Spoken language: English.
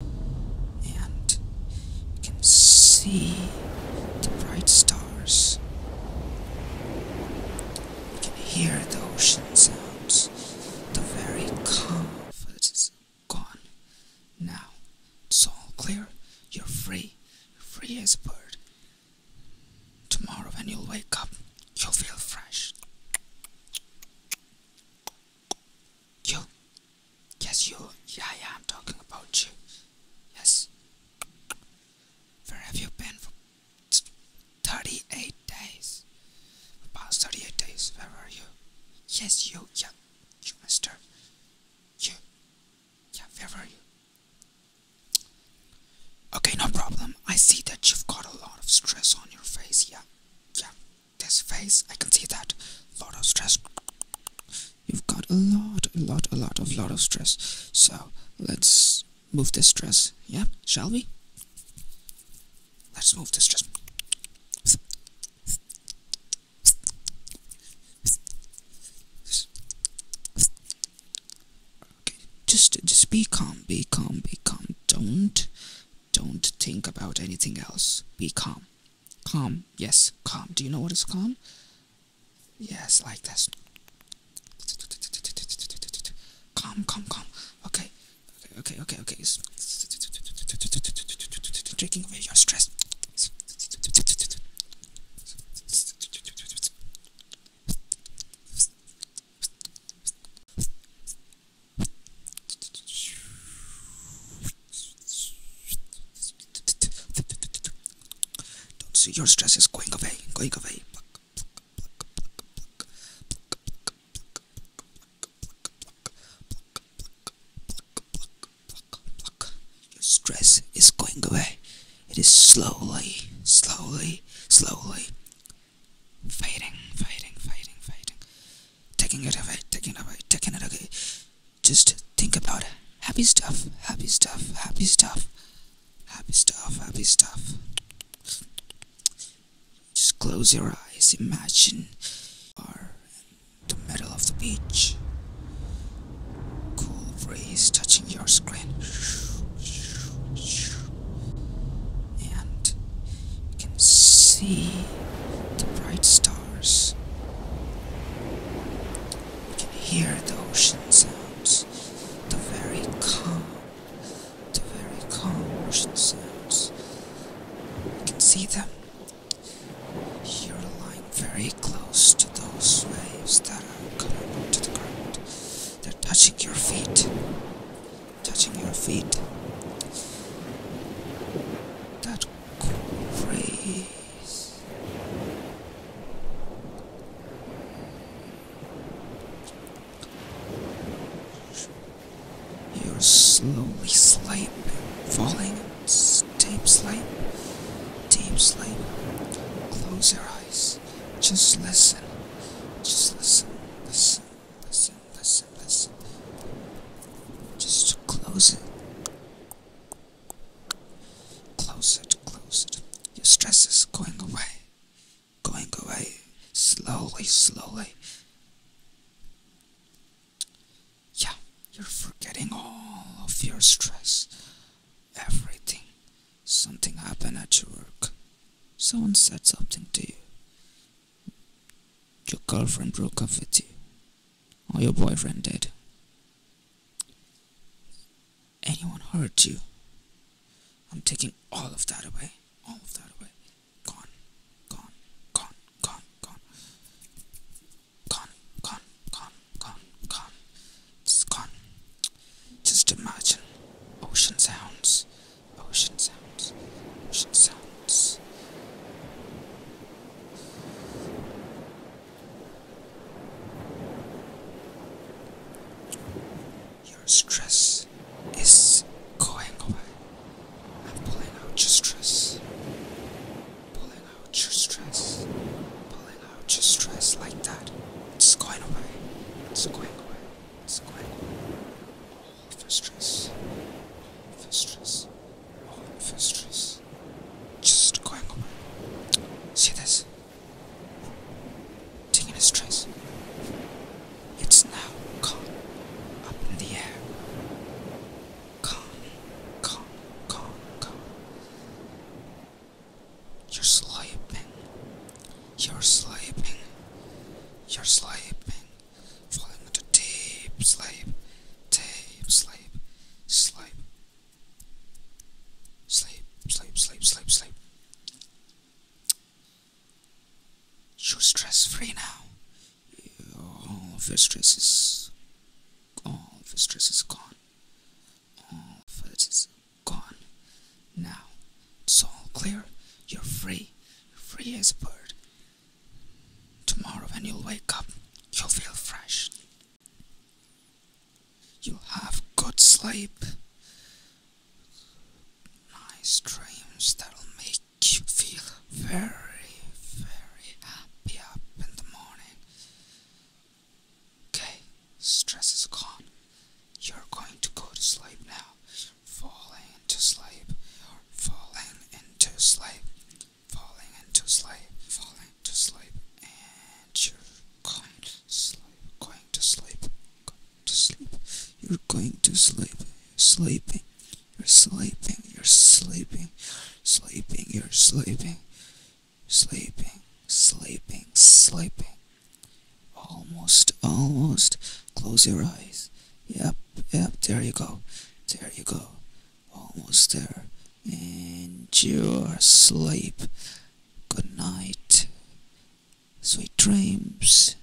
and you can see the bright stars. You can hear the ocean sounds. The very calm of gone. Now it's all clear. You're free. You're free as a bird. Tomorrow when you'll wake up, you'll feel fresh. You? Yes, you. Yeah, yeah, I'm talking about you. Yes. Where have you been for 38 days? About 38 days, where were you? Yes, you. Yeah, you, mister. You. Yeah, where were you? Okay, no problem. I see that you've got a lot of stress on your face. Yeah, yeah this face. I can see that. Lot of stress. You've got a lot, a lot, a lot of lot of stress. So let's move this stress. Yeah, shall we? Let's move this stress. Okay, just just be calm, be calm, be calm. Don't don't think about anything else. Be calm. Calm, yes, calm. Do you know what is calm? Yes, like this. Calm, calm, calm. Okay, okay, okay, okay. okay. Taking away your stress. Don't see your stress is going away, going away. Your stress is going away. It is slowly, slowly, slowly, Fighting, fighting, fighting, fighting. Taking it away, taking it away, taking it away. Just think about it. Happy stuff, happy stuff, happy stuff. Happy stuff, happy stuff. Just close your eyes, imagine are in the middle of the beach. Cool breeze touching your screen. And you can see the bright stars. You can hear the ocean sounds, the very calm, the very calm ocean sounds. You can see them. You're lying very close to those waves that are coming to the ground. They're touching your feet. Touching your feet. That grace. You're slowly sleep, falling, deep sleep, deep sleep. Close your eyes just, listen. Just listen, listen, listen, listen, listen. Just close it. Close it, close it. Your stress is going away. Going away. Slowly, slowly. Yeah, you're forgetting all of your stress everything. Something happened at your work. Someone said something to you. Your girlfriend broke up with you. Or your boyfriend did. Anyone hurt you? I'm taking all of that away. All of that away. Gone. Gone. Gone. Gone. Gone con, con, con, con, con, con. Just imagine ocean sounds, ocean sounds, ocean sounds. Your stress is going away. I'm pulling out your stress pulling out your stress, pulling out your stress like that. It's going away. It's going away. It's going away. All of your stress, all of your stress, all of your stress, just going away. See this? Taking a stress. It's now gone up in the air. Call me, call me, You're sleeping, you're sleeping, you're sleeping, falling into deep sleep, deep sleep, sleep, sleep, sleep, sleep, sleep, sleep. You're stress free now all of your stress is all of your gone all of gone now it's all clear you're free you're free as a bird tomorrow when you'll wake up you'll feel fresh you'll have good sleep nice dreams that'll make you feel very, very happy up in the morning. Okay, stress is gone. You're going to go to sleep now. Falling into sleep, falling into sleep, falling into sleep, falling into sleep, and you're going to sleep, going to sleep, going to sleep. You're going to sleep, sleeping, you're sleeping, you're sleeping, sleeping, you're sleeping, sleeping, sleeping, sleeping. Almost, almost. Close your eyes. Yep, yep, there you go. There you go. Almost there. And you're asleep. Good night. Sweet dreams.